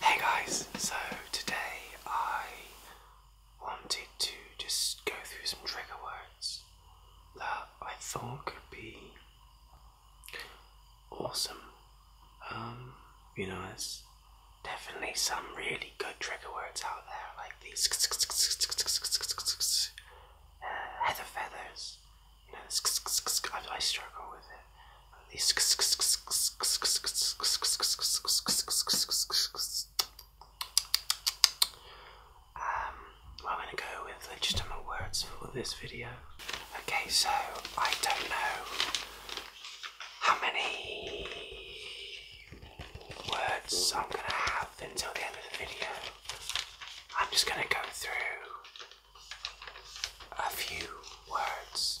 Hey guys, so today I wanted to just go through some trigger words that I thought could be awesome. Um, you know, there's definitely some really good trigger words out there, like these uh, heather feathers. You know, I, I struggle with um, I'm going to go with legitimate words for this video. Okay, so I don't know how many words I'm going to have until the end of the video. I'm just going to go through a few words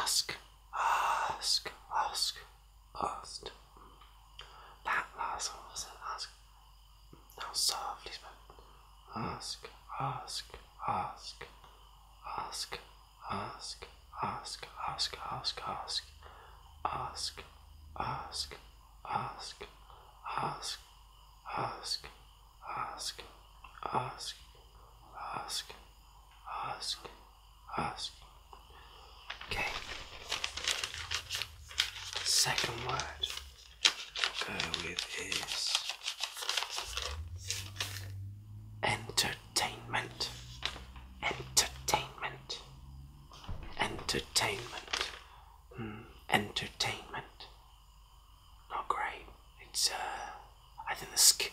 ask, ask, ask, asked. That last one wasn't ask. Now softly spoke. Ask, ask, ask, ask, ask, ask, ask, ask, ask, ask, ask, ask, ask, ask, ask, ask, ask, ask ask. Okay. Second word we'll go with is entertainment. Entertainment. Entertainment. Mm, entertainment. Not great. It's uh, I think the sk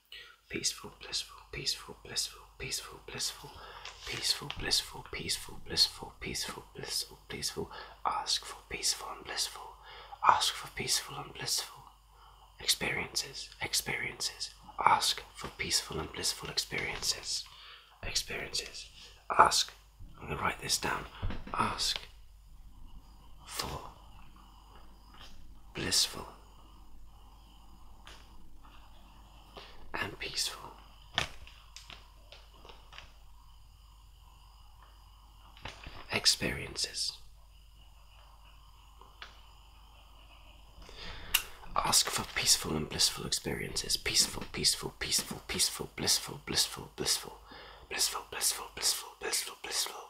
Peaceful, blissful, peaceful, blissful, peaceful, blissful, peaceful, blissful, peaceful, blissful, peaceful, blissful, peaceful. Ask for peaceful and blissful. Ask for peaceful and blissful experiences, experiences. Ask for peaceful and blissful experiences, experiences. Ask, I'm going to write this down. Ask for blissful, and peaceful. Experiences. Ask for peaceful and blissful experiences. Peaceful, peaceful, peaceful, peaceful, blissful, blissful, blissful, blissful, blissful, blissful, blissful, blissful.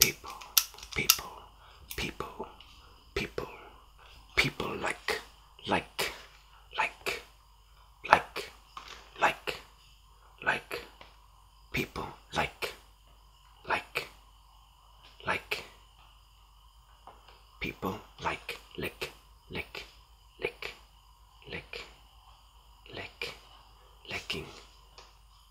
people, people, people, people, people like, like, like, like, like, like, people like, like, like, people like, lick, lick, lick, lick, lick, licking,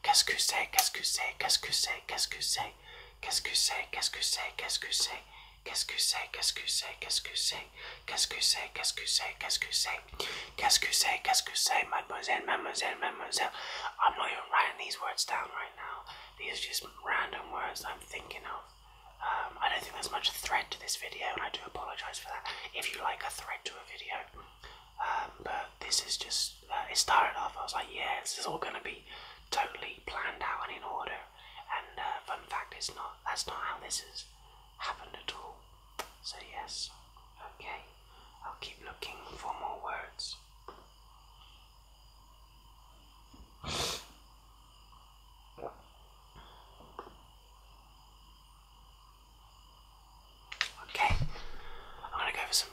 What's ce que c'est Qu'est-ce que c'est Qu'est-ce que c'est Qu'est-ce que c'est Qu'est-ce que c'est Qu'est-ce que c'est Mademoiselle, mademoiselle, mademoiselle. I'm not even writing these words down right now. These are just random words I'm thinking of. I don't think there's much thread to this video, and I do apologise for that. If you like a thread to a video, but this is just, it started off, I was like, yeah, this is all going to be totally planned out and in order. And uh, fun fact, it's not, that's not how this has happened at all. So, yes, okay, I'll keep looking for more words. Okay, I'm gonna go for some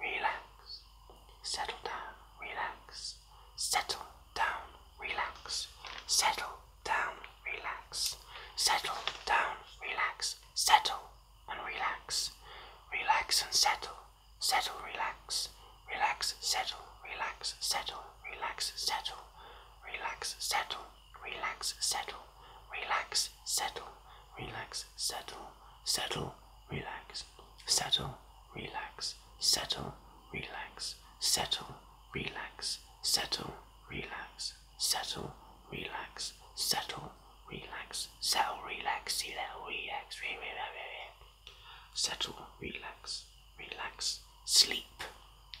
relax. Settle down, relax. Settle down, relax. Settle down, relax. Settle down, relax. Settle and relax. Relax and settle. Settle, relax. Relax, settle, relax, settle, relax, settle. Relax, settle, relax, settle. Relax, settle, relax, settle settle, relax, settle, relax, settle, relax, settle, relax, settle, relax, settle, relax, settle, relax, settle, relax, settle, relax, settle, relax, relax, sleep,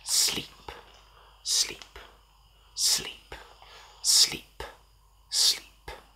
sleep, sleep, sleep, sleep, sleep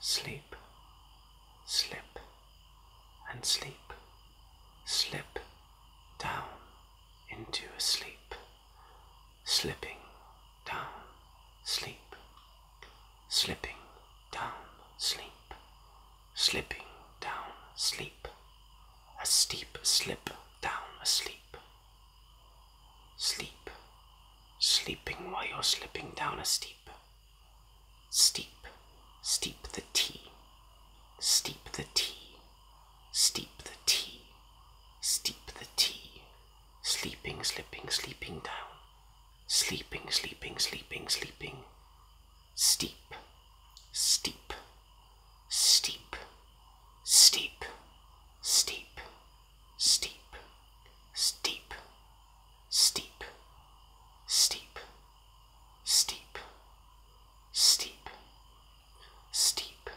sleep, slip, and sleep, slip down into a sleep, slipping down, sleep, slipping down, sleep, slipping down, sleep, a steep slip down a sleep, sleep, sleeping while you're slipping down a steep steep, steep, steep the tea, steep the tea, steep the tea, steep the tea, sleeping, slipping, sleeping down, sleeping, sleeping, sleeping, sleeping, steep, steep, steep, steep, steep, steep, steep, steep, steep, steep, steep, steep,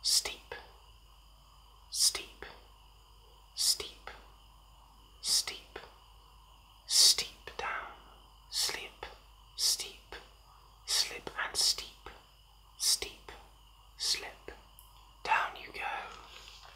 steep, steep, steep, steep, steep down, slip, steep, slip and steep, steep, slip. Down you go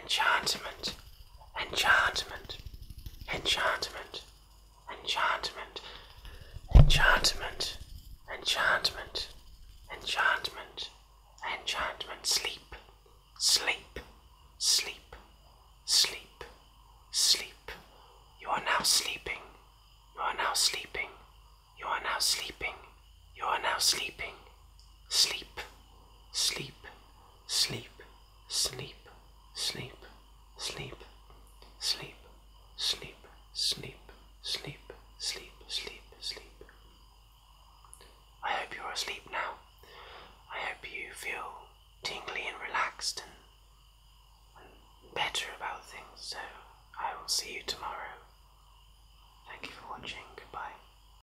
enchantment, enchantment, enchantment, enchantment, enchantment, enchantment, enchantment, enchantment, sleep, sleep, sleep, sleep, sleep. You are now sleeping, you are now sleeping, you are now sleeping, you are now sleeping, sleep, sleep sleep, sleep, sleep, sleep, sleep, sleep, sleep, sleep, sleep, sleep, sleep. I hope you're asleep now. I hope you feel tingly and relaxed and, and better about things. So I will see you tomorrow. Thank you for watching. Goodbye.